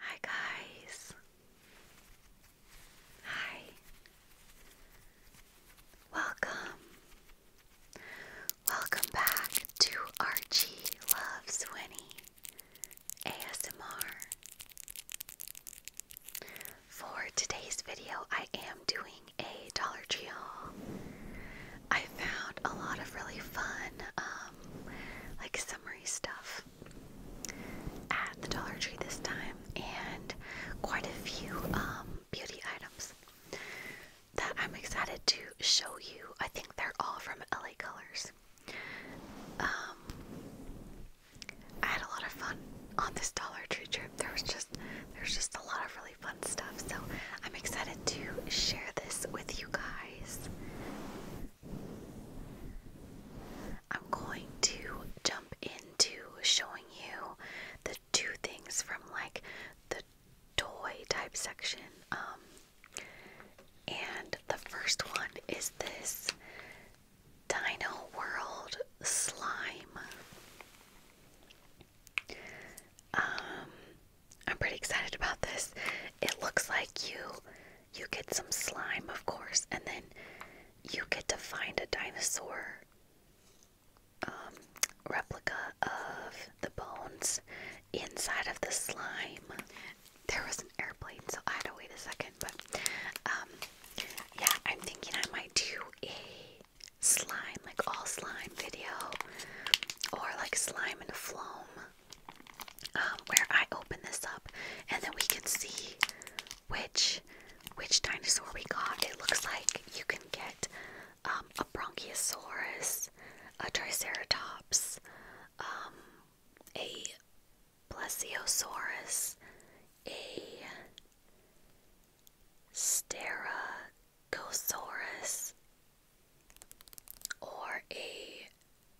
Hi guys. Hi. Welcome. Welcome back to Archie Loves Winnie ASMR. For today's video, I am doing a Dollar Tree haul. I found a lot of really fun, um, like summary stuff at the Dollar Tree this time, and quite a few um, beauty items that I'm excited to show you. I think they're all from LA Colors. Um, I had a lot of fun on this Dollar Tree trip. There was just there's just a lot of really fun stuff. So I'm excited to share this with you guys. I'm going to jump into showing you the two things from like the toy type section. Um, and the first one is this Dino World slime. Um, I'm pretty excited about this. It looks like you you get some slime, of course, and then you get to find a dinosaur um, replica of the bones inside of the slime. There was an airplane, so I had to wait a second. But um, yeah, I'm thinking I might do a slime, like all slime video, or like slime and floam, um, where I open this up and then we can see which which dinosaur we got. It looks like you can get um, a bronchiosaurus, a triceratops, um, a plesiosaurus, a Steracosaurus, or a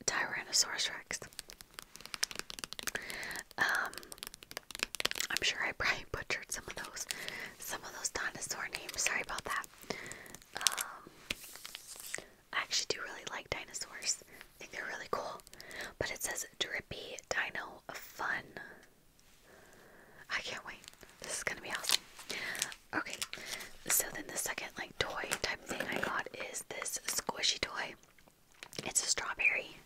Tyrannosaurus Rex. Um, I'm sure I probably butchered some of those, some of those dinosaur names. Sorry about that. Um, I actually do really like dinosaurs. I think they're really cool. But it says Drippy Dino Fun. I can't wait. This is gonna be awesome. Okay, so then the second like toy type thing I got is this squishy toy. It's a strawberry.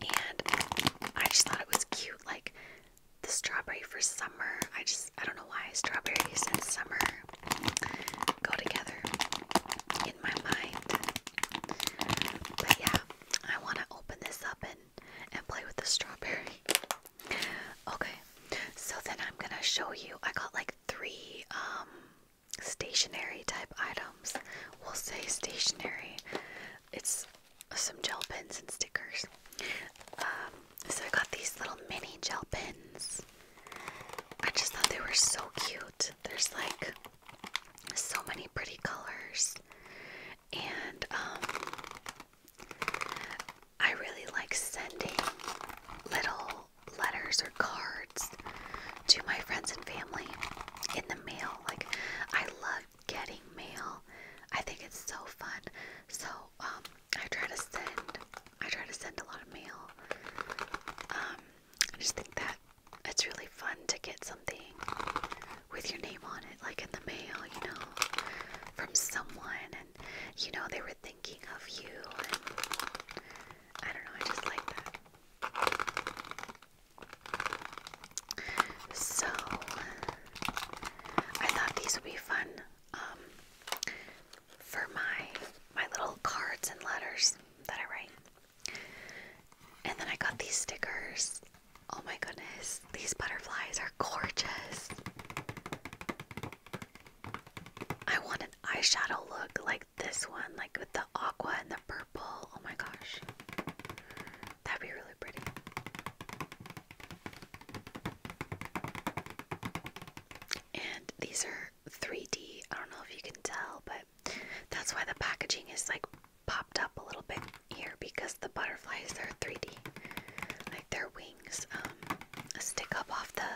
And I just thought it was cute, like the strawberry for summer. I just I don't know why strawberries and summer go together in my mind. But yeah, I wanna open this up and and play with the strawberry. Okay, so then I'm gonna show you. I got like three um, stationary type items. We'll say stationary. It's some gel pens and stickers. Um, so I got these little mini gel pens. I just thought they were so cute. There's like so many pretty colors. And um I really like sending little letters or cards to my friends and family in the mail. Like, I love getting mail. I think it's so fun. So, um, I try to send. I try to send a lot of mail. Um, I just think that it's really fun to get something with your name on it, like in the mail, you know, from someone, and you know, they were thinking of you, and I don't know, I just like that. So, I thought these would be fun um, for my my little cards and letters that I write. And then I got these stickers. Oh my goodness, these butterflies are gorgeous. I want an eyeshadow look like this one, like with the aqua and the purple. Oh my gosh. That'd be really pretty. And these are 3D. I don't know if you can tell, but that's why the packaging is like popped up a little bit here because the butterflies are 3D. Like their wings um, stick up off the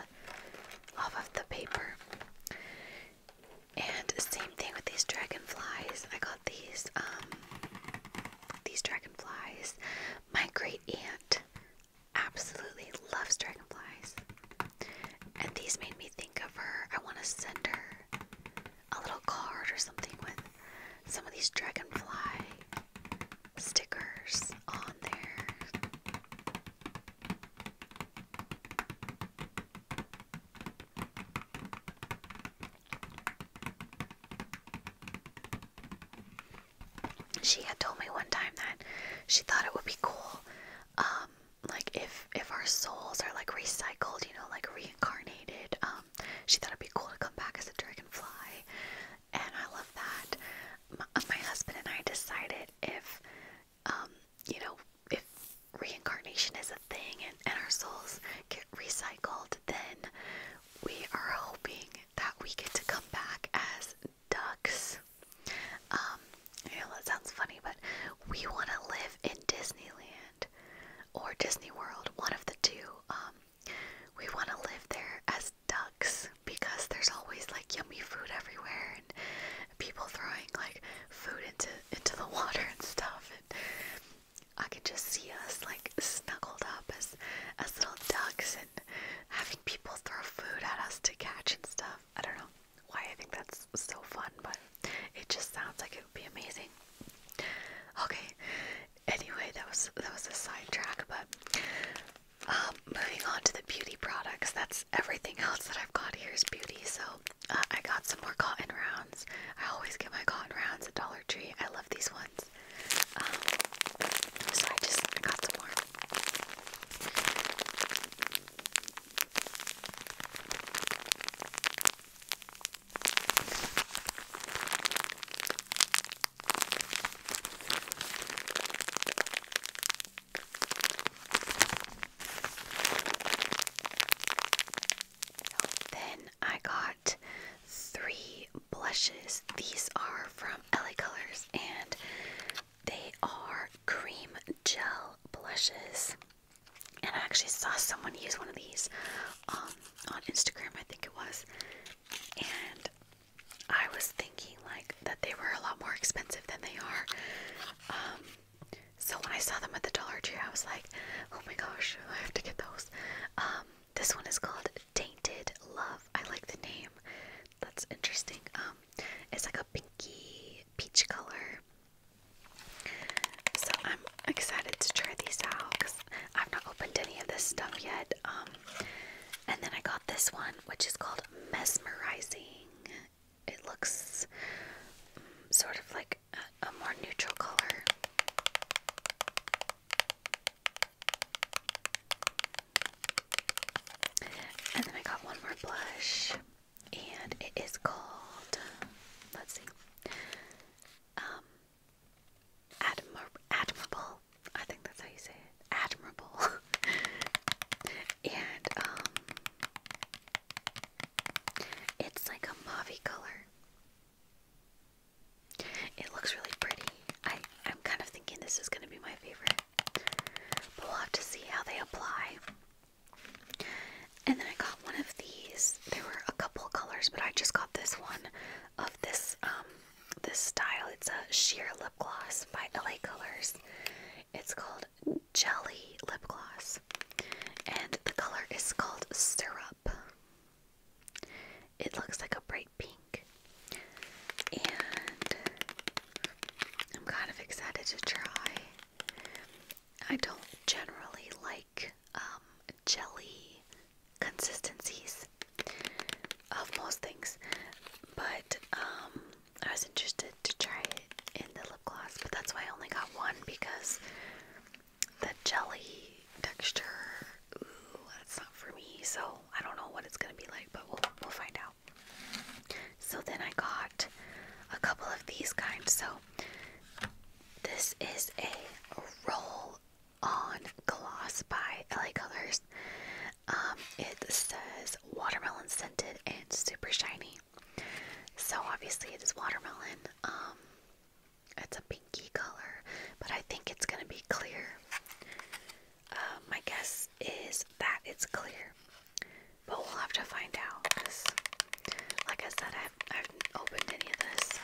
off of the paper. And same thing with these dragonflies. I got these um, these dragonflies. My great aunt absolutely loves dragonflies. And these made me think of her. I want to send her a little card or something with some of these dragonfly stickers on there. She had told me one time that she thought it would be cool, um, like if if our souls are like recycled, you know, like reincarnated, um, she thought it'd be cool to come back as a dragonfly, and I love that. My, husband and I decided if, um, you know, if reincarnation is a thing and, our souls get recycled, then we are hoping that we get to come back as ducks. Um, that sounds funny, but we want to live in Disneyland. Disneyland or Disney World, one of the two, um, we want to live there as ducks because there's always like yummy food everywhere and people throwing like food into into the water and stuff. And I could just see us like snuggled up as as little ducks and having people throw food at us to catch and stuff. I don't know why I think that's so fun, but it just sounds like it would be amazing. Okay. Anyway, that was that was a sidetrack, but um, moving on to the beauty products. That's everything else that I've got here is beauty. So uh, I got some more cotton rounds. I always get my cotton rounds at Dollar Tree. I love these ones. Um, so I just got some more. Then I got three blushes. These are from LA Colors and they are cream gel blushes and I actually saw someone use one of these um, on Instagram, I think it was, and I was thinking like that they were a lot more expensive than they are. Um, so when I saw them at the Dollar Tree, I was like, "Oh my gosh, I have to get those." Um, this one is called Tainted Love. I like the name. That's interesting. it's like a pinky peach color. So I'm excited to try these out because I've not opened any of this stuff yet. Um, and then I got this one, which is called Mesmerizing. It looks mm, sort of like a, a more neutral color. And then I got one more blush, and it is called, let's see, um, admir admirable. I think that's how you say it. Admirable. and um, it's like a mauve color. It looks really pretty. I I'm kind of thinking this is gonna be my favorite. But we'll have to see how they apply. And then I got one of these. There were a couple colors, but I just got this one of this um, this style. It's a sheer lip gloss by LA Colors. It's called Jelly Lip Gloss. And the color is called Syrup. It looks like a bright pink. And I'm kind of excited to try. I don't generally like um, jelly consistencies of most things, but um, I was interested to try it in the lip gloss, but that's why I only got one because the jelly texture, ooh, that's not for me. So I don't know what it's gonna be like, but we'll we'll find out. So then I got a couple of these kinds. So this is a roll on gloss by LA Colors. Um, it says watermelon scented and super shiny. So obviously it is watermelon. Um, it's a pinky color, but I think it's gonna be clear. Um, my guess is that it's clear, but we'll have to find out like I said, I haven't opened any of this, so.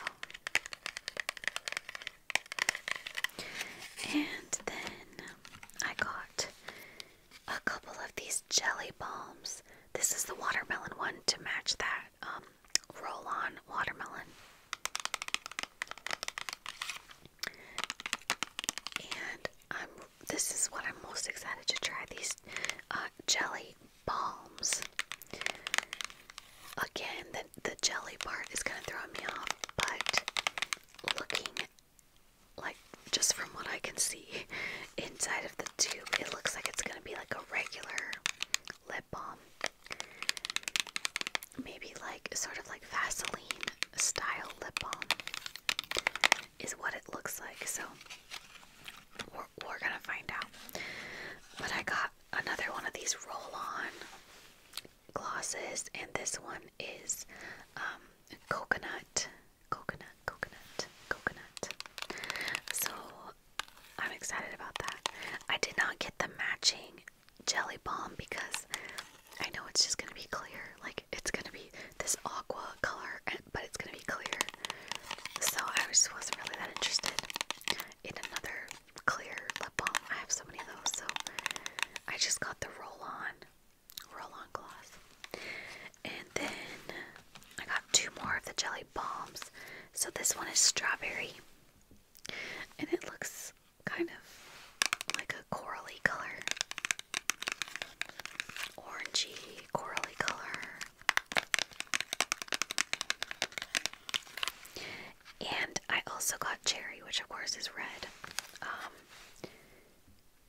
And then I got a couple of these jelly bombs. This is the watermelon one to match that um, roll on watermelon. And this is what I'm most excited to try these uh, jelly palms. Again, the, the jelly part is going to throw me off, but looking like just from what I can see inside of the tube, it looks like it's going to be like a regular lip balm. Maybe like sort of like Vaseline style lip balm is what it looks like. So we're gonna find out. But I got another one of these roll on glosses, and this one is um, coconut, coconut, coconut, coconut. So I'm excited about that. I did not get the matching jelly balm because I know it's just gonna be clear, like it's gonna be this aqua color, but it's gonna be clear. So I just wasn't really that interested in another clear lip balm. I have so many of those, so I just got the roll on, roll on gloss. And then I got two more of the jelly bombs. So this one is strawberry, and it looks kind of like a corally color, orangey corally color. And I also got cherry, which of course is red. Um,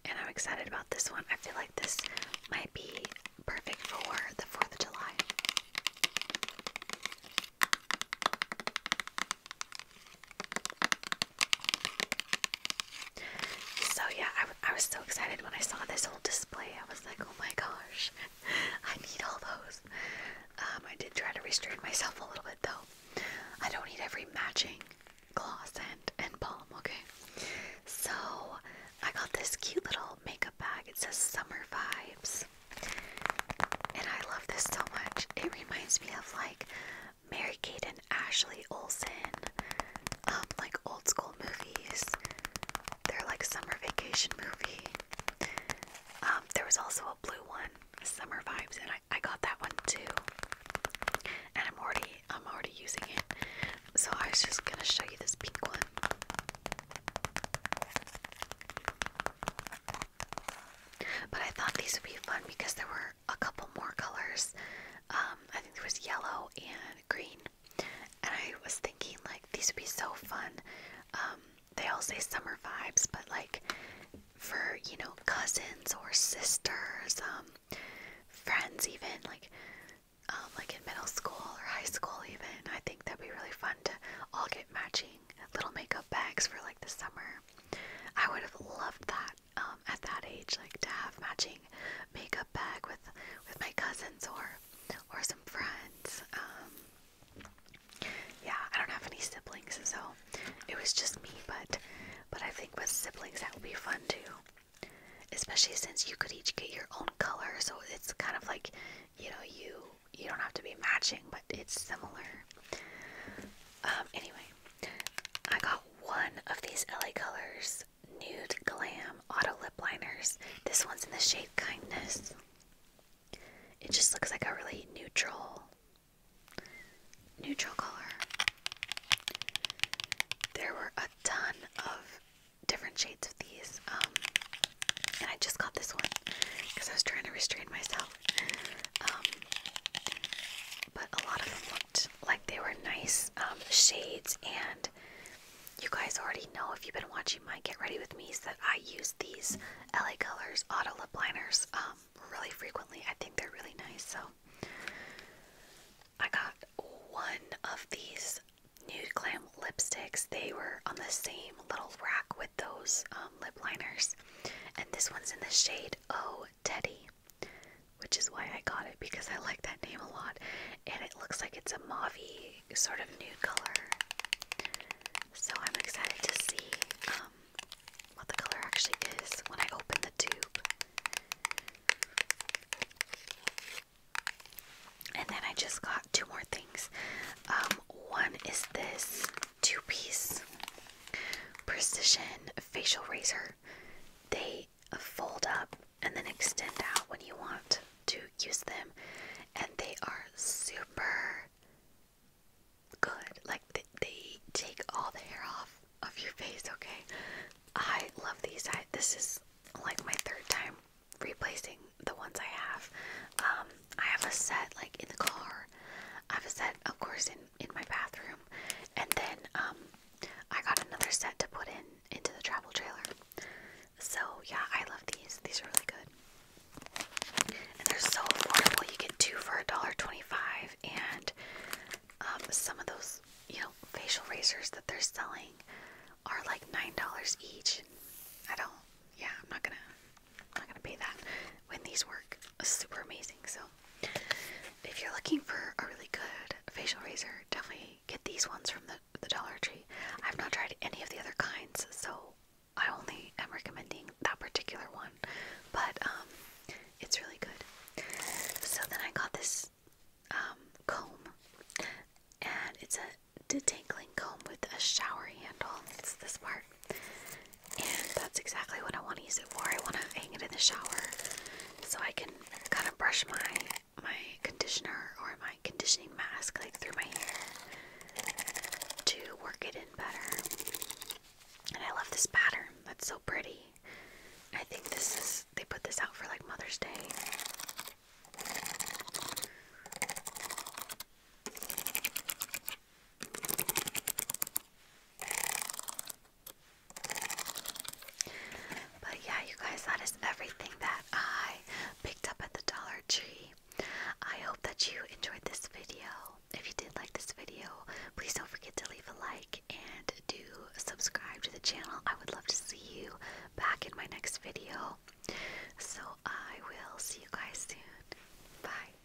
and I'm excited about this one. I feel like this might be perfect for the 4th of July. So, yeah, I I was so excited when I saw this whole display. I was like, oh my gosh, I need all those. Um, I did try to restrain myself a little bit though. I don't need every matching gloss and, and balm, okay? So I got this cute little makeup bag. It says Summer Vibes. And I love this so much. It reminds me of like Mary Kay and Ashley Olsen um, like old school movies. They're like summer vacation movie. Um, there was also a blue one, Summer Vibes, and I, I got that one too. And I'm already I'm already using it. So I was just gonna show you this pink one. But I thought these would be fun because there were a couple more colors. Um, I think there was yellow and green and I was thinking like these would be so fun. Um, they all say summer vibes, but like for you know cousins or sisters, um, friends even like um, like in middle school or high school even. I think that'd be really fun to all get matching little makeup bags for like the summer. I would have loved that um, at that age, like to have matching makeup bag with with my cousins or or some friends. Um, yeah, I don't have any siblings, so it was just me. But but I think with siblings that would be fun too, especially since you could each get your own color. So it's kind of like you know you you don't have to be matching, but it's similar. Um, anyway, I got one of these LA colors Nude Glam Auto Lip Liners. This one's in the shade Kindness. It just looks like a really neutral, neutral color. There were a ton of different shades of these, um, and I just got this one because I was trying to restrain myself. Um, but a lot of them looked like they were nice um, shades and you guys already know if you've been watching my Get Ready With Me's that I use these LA Colors Auto Lip Liners um, really frequently. I think they're really nice. So I got one of these nude glam lipsticks. They were on the same little rack with those um, lip liners. And this one's in the shade Oh Teddy which is why I got it because I like that name a lot. And it looks like it's a mauvey sort of nude color. So I'm excited to see um, what the color actually is when I open the tube. And then I just got two more things. Um, one is this two piece precision facial razor. They fold up and then extend out when you want to use them. And they are super good. Like they, they take all the hair off of your face, okay? I love these. I this is like my third time replacing the ones I have. Um, I have a set like in the car. I have a set, of course, in in my bathroom, and then um, I got another set to put in into the travel trailer. So yeah, I love these. These are really good. And they're so affordable. You get two for a dollar twenty-five and um, some of those, you know, facial razors that they're selling are like nine dollars each. I don't yeah, I'm not gonna I'm not gonna pay that when these work. Super amazing. So if you're looking for a really good facial razor, definitely get these ones from the, the Dollar Tree. I've not tried any of the other kinds, so I only am recommending that particular one, but um, it's really good. So then I got this um, comb, and it's a detangling comb with a shower handle. It's this part, and that's exactly what I want to use it for. I want to hang it in the shower so I can can kind of brush my my conditioner or my conditioning mask like through my hair to work it in better. And I love this pattern. That's so pretty. I think this is they put this out for like Mother's Day. But yeah, you guys, that is everything that I picked up at the Dollar Tree. I hope that you enjoyed this video. If you did like this video, please don't forget to leave a like and do subscribe to the channel. I would love to see you back in my next video. So I will see you guys soon. Bye.